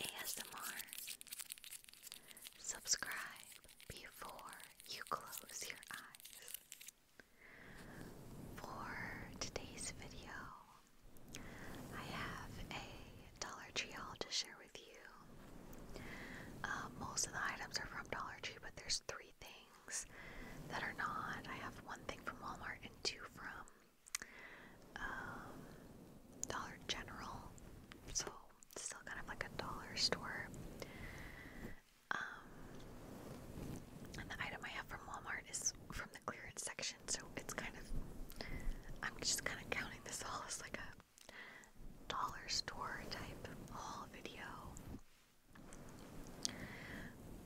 ASMR. Subscribe before you close your eyes. For today's video, I have a Dollar Tree haul to share with you. Um, most of the items are from Dollar Tree, but there's three things that are not. I have one thing from Walmart and two from um, dollar General, so still kind of like a dollar store. Um, and the item I have from Walmart is from the clearance section, so it's kind of I'm just kind of counting this all as like a dollar store type haul video.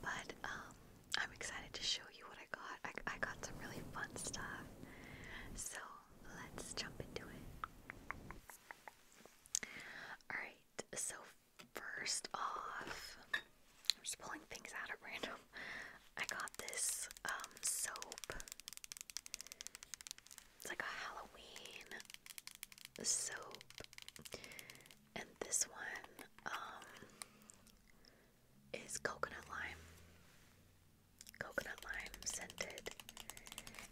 But um, I'm excited to show you what I. I got. I, got some really fun stuff. So let's jump into it. Alright, so first off, I'm just pulling things out at random. I got this um, soap. It's like a Halloween soap. And this one, um, is coconut lime. Coconut lime scented.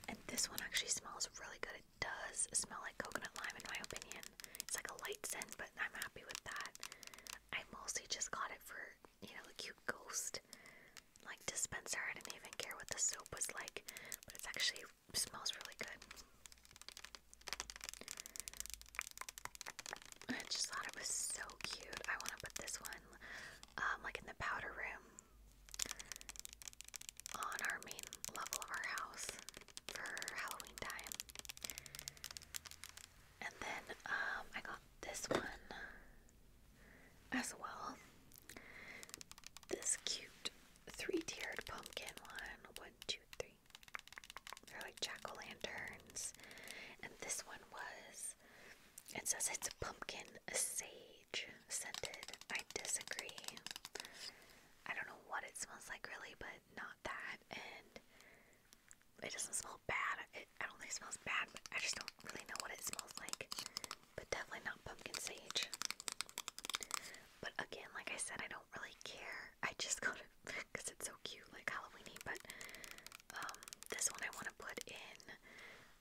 And this one actually smells really good. It does smell like coconut lime in my opinion. It's like a light scent, but I'm happy with that. I mostly just got it for, you know, the cute ghost like dispenser. I didn't even care what the soap was like, but it actually smells really good. I just thought it was so cute. I want to put this one, um, like in the powder room, on our main level of our house for Halloween time. And then um, I got this one as well. This cute three-tiered pumpkin one. One, two, three. They're like jack o' lanterns. And this one was, it says it's a pumpkin sage scented. I disagree. I don't know what it smells like really, but not that. And it doesn't smell bad. It, I don't think it smells bad, but I just don't really know what it smells like. But definitely not pumpkin sage. But again, like I said, I don't really care. I just go to because it's so cute, like Halloweeny. But um, this one I want to put in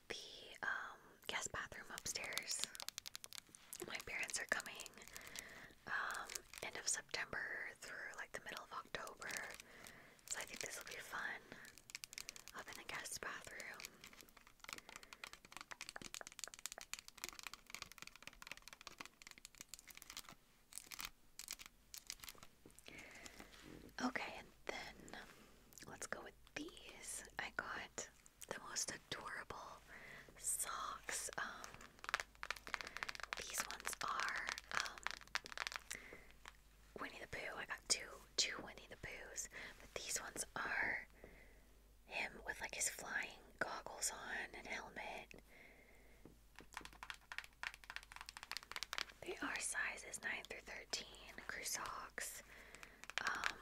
the um, guest bathroom upstairs. My parents are coming um, end of September through like the middle of October, so I think this will be fun. Up in the guest bathroom. Okay, and then um, let's go with these. I got the most adorable socks. Um, these ones are um, Winnie the Pooh. I got two, two Winnie the Poohs, but these ones are him with like his flying goggles on and helmet they are sizes 9 through 13, crew socks. Um,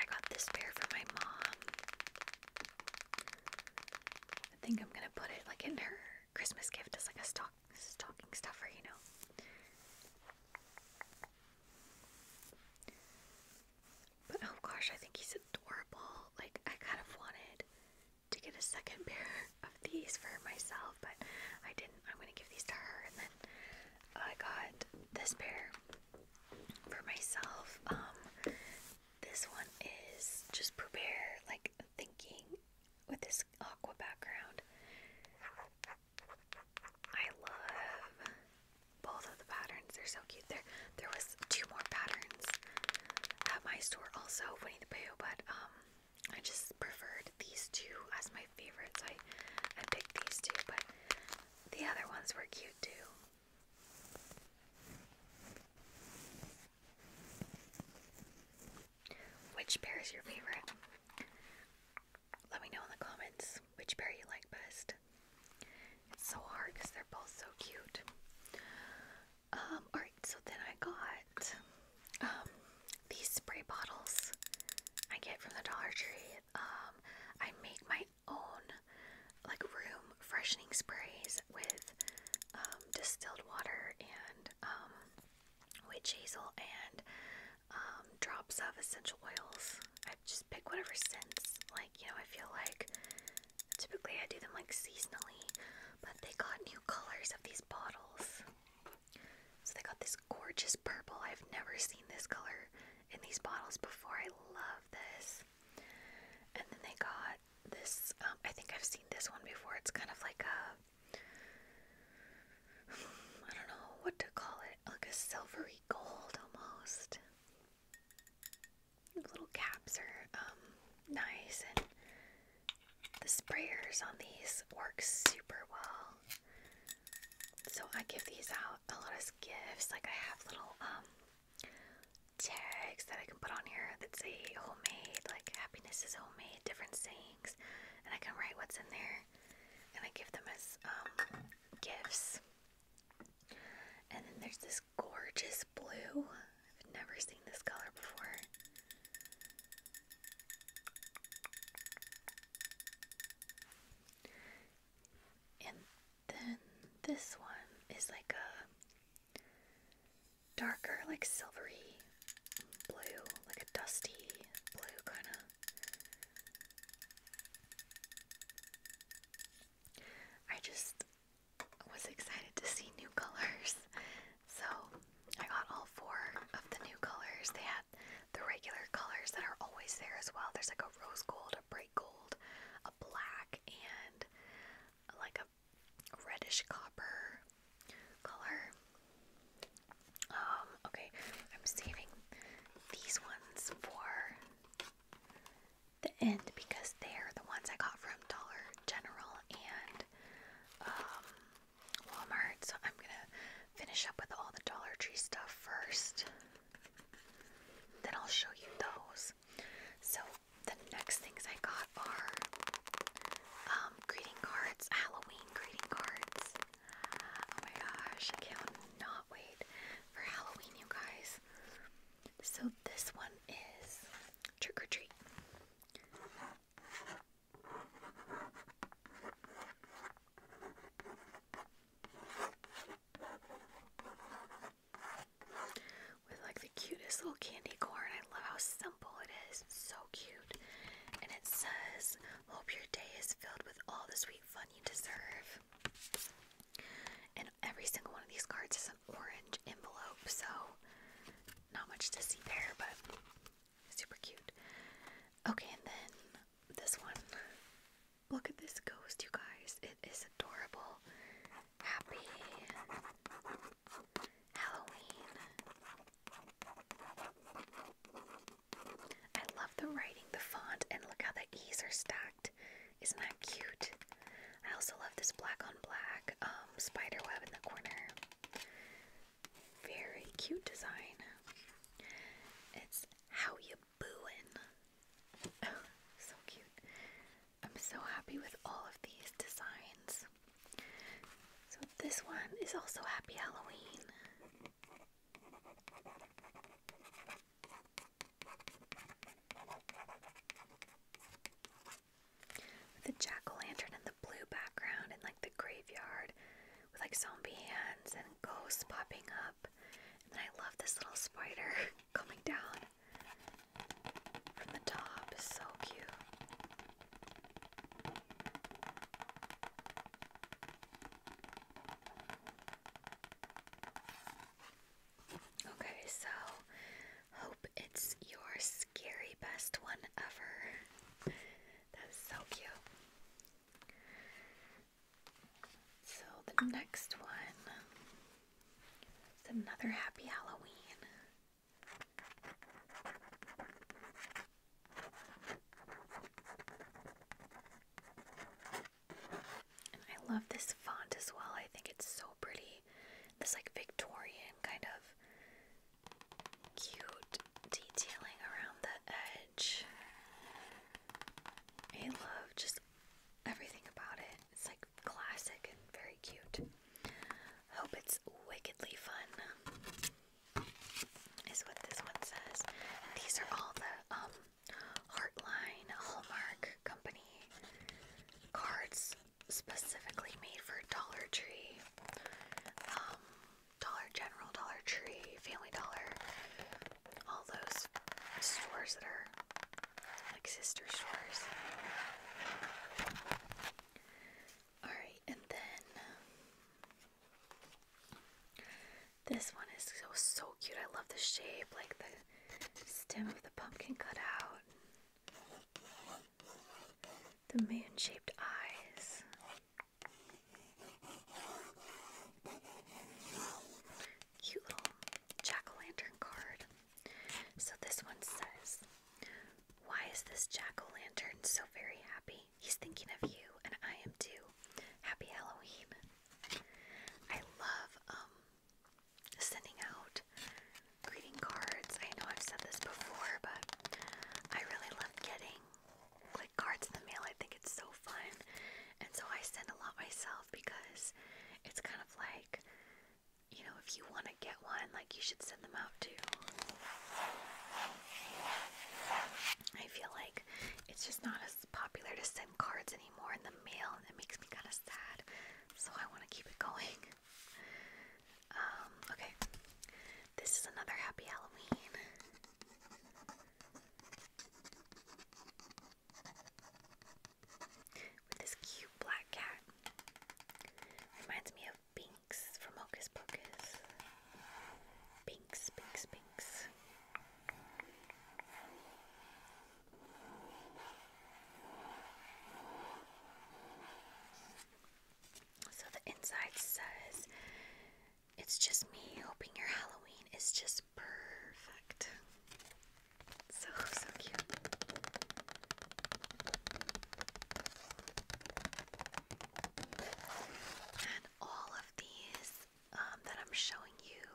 I got this pair for my mom. I think I'm gonna put it like in her Christmas gift as like a stock stocking stuffer, you know. But oh gosh, I think he's adorable. Like I kind of wanted to get a second pair of these for myself, but I didn't. I'm gonna give these to her, and then I got this pair for myself. Um, this one is just prepare like thinking with this aqua background. I love both of the patterns. They're so cute. There, there was two more patterns at my store also, Winnie the Pooh, but um, I just preferred these two as my favorites. I I picked these two, but the other ones were cute too. Which pair is your favorite? Let me know in the comments which pair you like best. It's so hard because they're both so cute. Um, alright, so then I got um these spray bottles I get from the Dollar Tree. Um, I make my own like room freshening sprays with um, distilled water and um, witch hazel and um, drops of essential oils. I just pick whatever scents. Like, you know, I feel like typically I do them like seasonally. But they got new colors of these bottles. So they got this gorgeous purple. I've never seen this color in these bottles before. I love this. And then they got this. Um, I think I've seen this one before. It's kind of like a. I don't know what to call it. Like a silvery gold almost. Little caps are um, nice and the sprayers on these work super well. So I give these out a lot of gifts. Like I have little um, tags that I can put on here that say homemade, like happiness is homemade, different sayings, and I can write what's in there. And I give them as um, gifts. And then there's this gorgeous blue I've never seen this color before. And then this one is like a darker, like silvery blue, like a dusty blue kind of. I just was excited to see new colors. So I got all four of the new colors. They had the regular colors that are always there as well. There's like a rose gold, a bright gold, a black, and like a reddish copper color. Um, okay, I'm saving these ones for the end because they're the ones I got from Dollar General and um, Walmart, so I'm gonna finish up with all the Dollar Tree stuff first. Then I'll show you those. So the next things I got are um, greeting cards, Halloween greeting cards. Oh my gosh, I cannot wait for Halloween, you guys. So this one is trick or treat. With like the cutest little candy corn. I love how simple it is. so cute. And it says, Hope your day is filled with all the sweet fun you deserve. And every single one of these cards is an orange orange envelope, so not much to see there, but super cute. Okay, and then this one. Look at this ghost, you guys. It is adorable. Happy Halloween. I love the writing, the font, and look how the E's are stacked. Isn't that cute? I also love this black on black um, in the corner. Very cute design. It's how you booin'. so cute. I'm so happy with all of these designs. So this one is also Happy Halloween with the jack-o'-lantern in the blue background and like the graveyard with like zombie hands and ghosts popping up. And I love this little spider coming down from the top. so cute. Okay, so hope it's yours scary best one ever. That so cute. So the next one is another Happy Halloween. I love this font as well. I think it's so pretty. This like Victorian kind of cute detailing around the edge. I love just everything about it. It's like classic and very cute. Hope it's wickedly fun, is what this one says. these are all the um, Heartline Hallmark Company cards specifically made for Dollar Tree, um, Dollar General, Dollar Tree, Family Dollar, all those stores that are like sister stores. Alright, and then this one is so so cute. I love the shape, like the stem of the pumpkin cut out. The moon shaped eyes. Cute little jack o' lantern card. So this one says, Why is this jack o' lantern so very happy? He's thinking of you, and I am too. Happy Halloween. I love um, sending out greeting cards. I know I've said this before, but I really love getting like cards in the mail. I think it's so fun. And so I send a lot myself because it's kind of like, you know, if you want to get one, like you should send them out too. I feel like it's just not as popular to send cards anymore in the mail, and it makes me kind of sad. So I want to keep it going. Um, okay. This is another happy Halloween. With this cute black cat. Reminds me of Binks from Hocus Pocus. Binks, Binks, Binks. So the inside says, It's just me hoping your Halloween is just perfect. So, so cute. And all of these um, that I'm showing you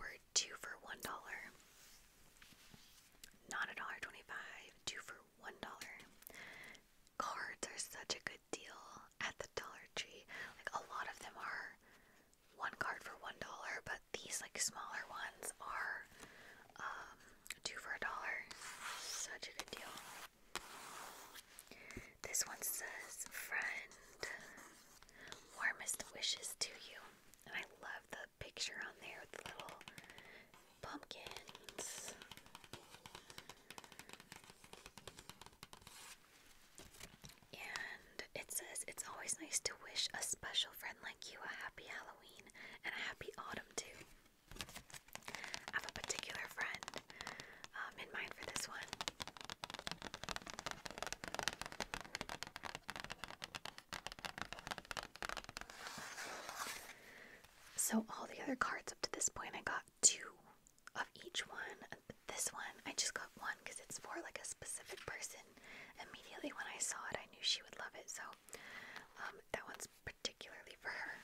were two for one dollar. Not a dollar twenty-five, two for one dollar. Cards are such a good deal at the Dollar Tree. Like a lot of them are one card for one dollar, but these like smaller ones are um, two for a dollar. Such a good deal. This one says, "Friend, warmest wishes to you," and I love the picture on there with the little pumpkins. And it says it's always nice to wish a special friend like you a happy Halloween and a happy autumn too. I have a particular friend um, in mind for this one. So, all the other cards up to this point, I got two of each one. But this one, I just got one because it's for like a specific person. Immediately when I saw it, I knew she would love it. So, um, that one's particularly for her.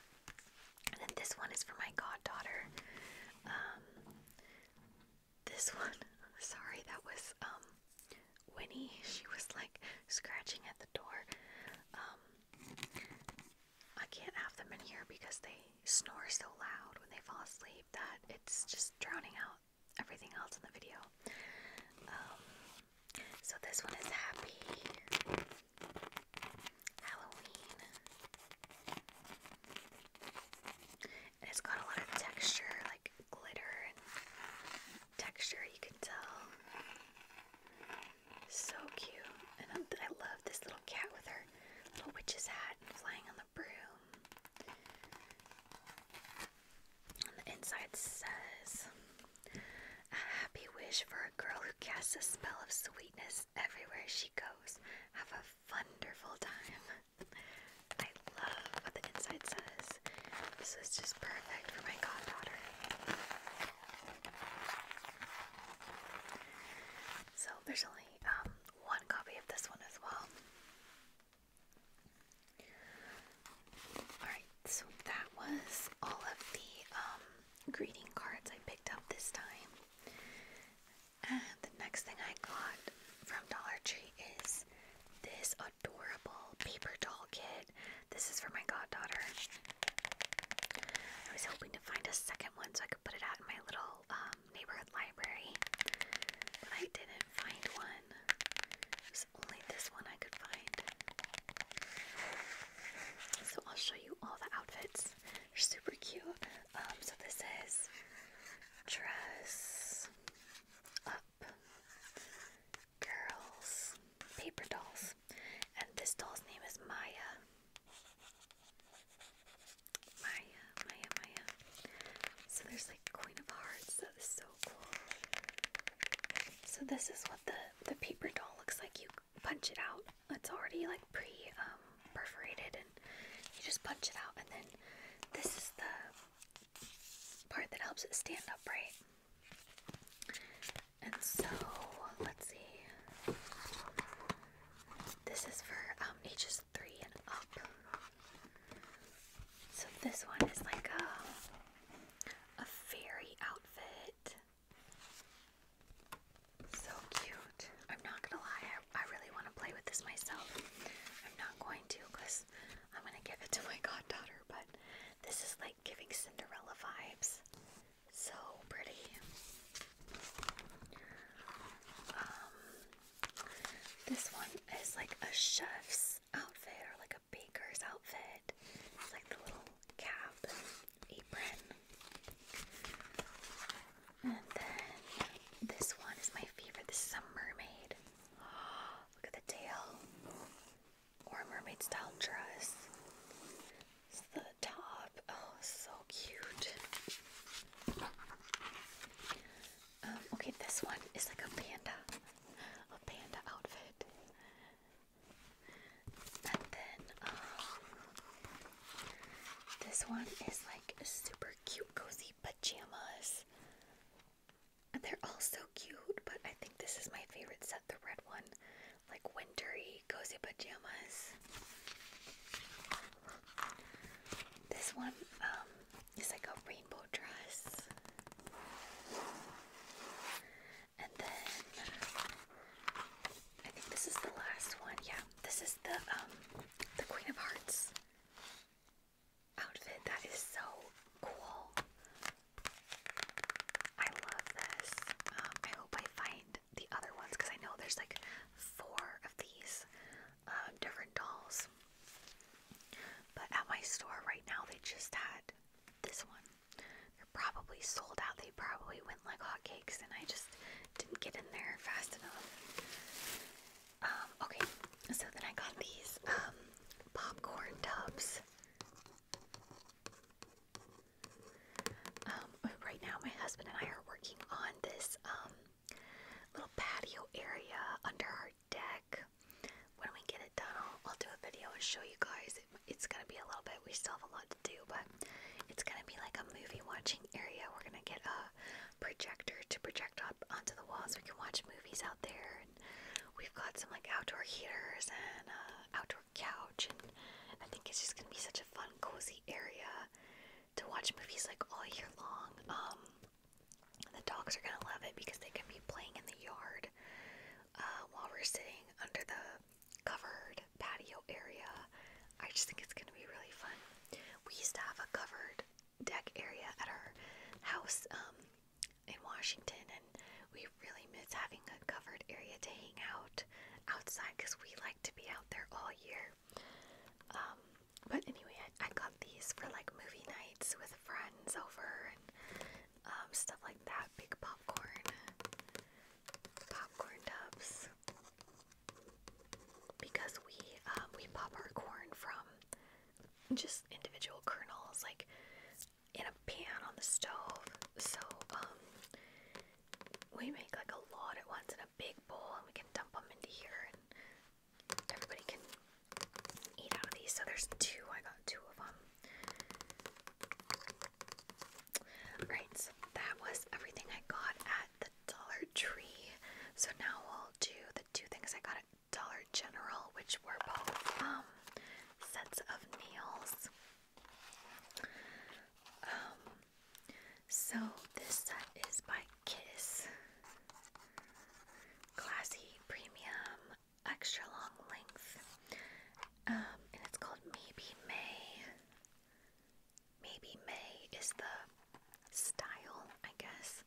And then this one is for my goddaughter. Um, this one, sorry, that was um, Winnie. She was like scratching at the door. Um, I can't have them in here because they snore so loud when they fall asleep that it's just drowning out everything else in the video. Um, so this one is Happy Halloween. it's got a lot of texture, like glitter and texture, you can tell. So cute. And i love this little cat with her little witch's hat flying on the broom. On the inside says, A happy wish for a girl who casts a spell of sweetness everywhere she goes. Have a wonderful time. I love what the inside says. This is just perfect for my goddaughter. So there's only um, one copy of this one as well. Alright, so that was all of the um, greeting cards I picked up this time. And the next thing I got from Dollar Tree is this adorable paper doll kit. This is for my goddaughter. I was hoping to find a second one so I could put it out in my little um, neighborhood library, but I didn't find one. It only this one I could find. So I'll show you all the outfits. They're super cute. Um, so this is dress up girls paper dolls, and this doll's name is Maya. Maya, Maya, Maya. So there's like Queen of Hearts. That is so cool. So this is what the the paper doll looks like. You punch it out. It's already like pre um, perforated, and you just punch it out, and then this is the part that helps it stand upright. And so, let's see. This is for um, ages three and up. So this one is like a a fairy outfit. So cute. I'm not gonna lie, I really want to play with this myself. I'm not going to because I'm gonna give it to my goddaughter, but this is like giving Cinderella vibes. So pretty. Um, this one is like a chef's outfit or like a baker's outfit. It's like the little cap apron. And then this one is my favorite. This is a mermaid. look at the tail or a mermaid style dress. It's the top. Oh, so cute. Um, okay, this one is like a panda, a panda outfit. And then um, this one is like super cute, cozy pajamas. And they're all so cute, but I think this is my favorite set, the red one. Like wintery cozy, cozy pajamas. This one um, is like a rainbow dress. And then I think this is the last one. Yeah, this is the um, the Queen of Hearts outfit. That is so cool. I love this. Um, I hope I find the other ones because I know there's like four of these um, different dolls. But at my store right now, they just had this one. They're probably sold out. They probably went like hotcakes, and I just didn't get in there fast enough. Um, okay, so then I got these popcorn tubs. Um, oh, right now, my husband and I are working on this um, little patio area under our deck. When we get it done, I'll, do a video and show you guys. it's gonna be a little bit. We still have a lot to do, but it's gonna be like a movie watching area. We're gonna get a projector to project up onto the walls. So we can watch movies out there. we've got some like outdoor heaters and uh, outdoor couch couch, and I think it's just gonna be such a fun, cozy area to watch movies like all year long. Um, the dogs are gonna love it because they can be playing in the yard uh, while we're sitting under the covered patio area. I just think it's gonna be really fun. We used to have a covered deck area at our house um, in Washington, and we really miss having a covered area to hang out outside because we like to be out there all year. Um, but anyway, I, I got these for like movie nights with friends over and um, stuff like that. Big popcorn, popcorn tubs, because we um, we pop our corn from just individual kernels. Like in a pan on the stove. So um, we make like a lot at once in a big bowl, and we can dump them into here, and everybody can eat out of these. So there's two. I got two of them. Right, so that was everything I got at the Dollar Tree. So now we'll do the two things I got at Dollar General, which were both um, sets of nails. Um, so this set is by Kiss. Classy, premium, extra long length. Um, and it's called Maybe May. Maybe May is the style, I guess,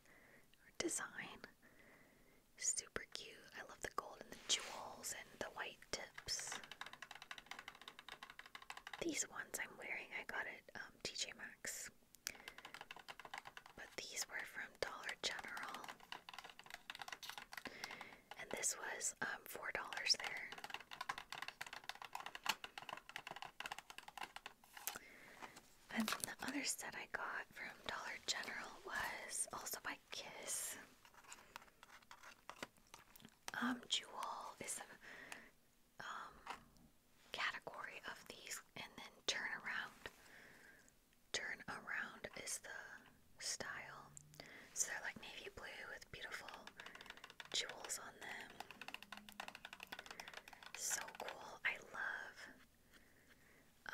or design. Super cute. I love the gold and the jewels and the white tips. These ones I'm wearing, I got at um, TJ Maxx. But these were from Dollar General. And this was um, $4 there. And the other set I got from Dollar General was also by Kiss um, jewel is a um, category of these, and then turn around. Turn around is the style. So they're like navy blue with beautiful jewels on them. So cool. I love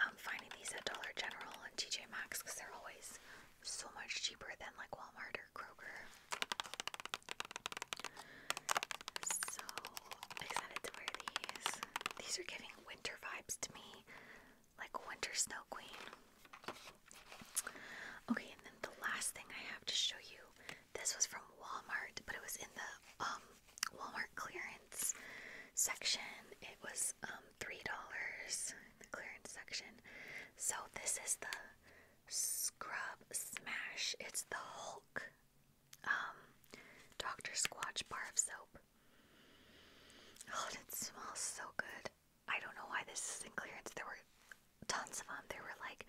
um, finding these at Dollar General and TJ Maxx because they're always so much cheaper than like Walmart or Kroger. So excited to wear these. These are giving winter vibes to me, like Winter Snow Queen. Okay, and then the last thing I have to show you this was from Walmart, but it was in the um, Walmart clearance section. It was um, $3 in the clearance section. So this is the Scrub Smash. It's the Hulk um, Dr. Squatch bar of soap. Oh, it smells so good. I don't know why this is in clearance. There were tons of them. There were like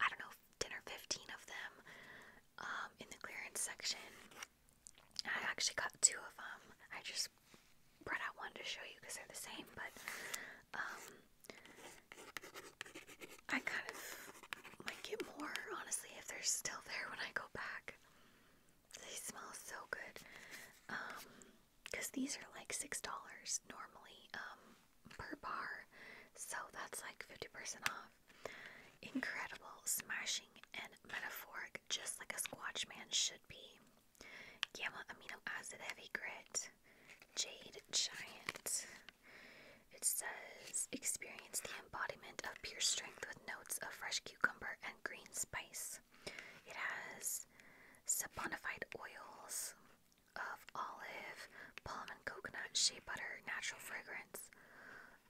I don't know, 10 or 15 of them um, in the clearance section. I actually got two of them. I just this I wanted to show you because they're the same, but um, I kind of might get more, honestly, if they're still there when I go back. They smell so good. Um, because these are like $6 normally um, per bar, so that's like 50% off. Incredible, smashing, and metaphoric, just like a Squatch Man should be. Gamma amino acid heavy grit, jade giant. It says experience the embodiment of pure strength with notes of fresh cucumber and green spice. It has saponified oils of olive, palm, and coconut, shea butter, natural fragrance,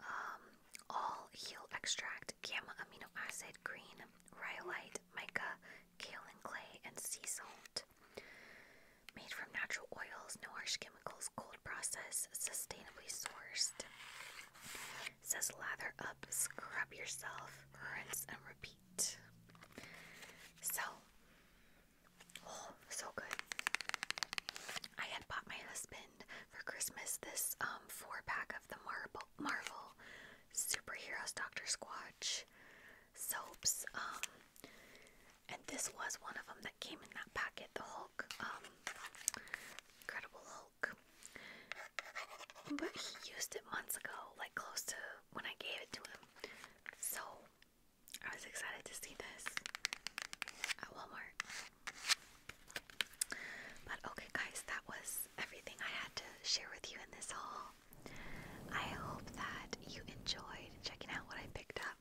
um, all heel extract, gamma amino acid, green rhyolite, mica, kaolin clay, and sea salt. Made from natural oils, no harsh chemicals, cold process, sustainably sourced. says lather up, scrub yourself, rinse and repeat. So, oh, so good. I had bought my husband for Christmas this um four pack of the marble Marvel superheroes, Dr. Squatch, soaps. Um, and this was one of them that came in that packet, the Hulk, um, Incredible Hulk. But he used it months ago, like close to when I gave it to him. So I was excited to see this at Walmart. But okay, guys, that was everything I had to share with you in this haul. I hope that you enjoyed checking out what I picked up.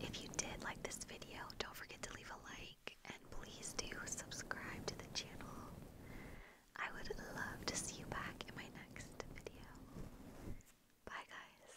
If you did like this video, don't forget to leave a like and please do subscribe to the channel. I would love to see you back in my next video. Bye guys.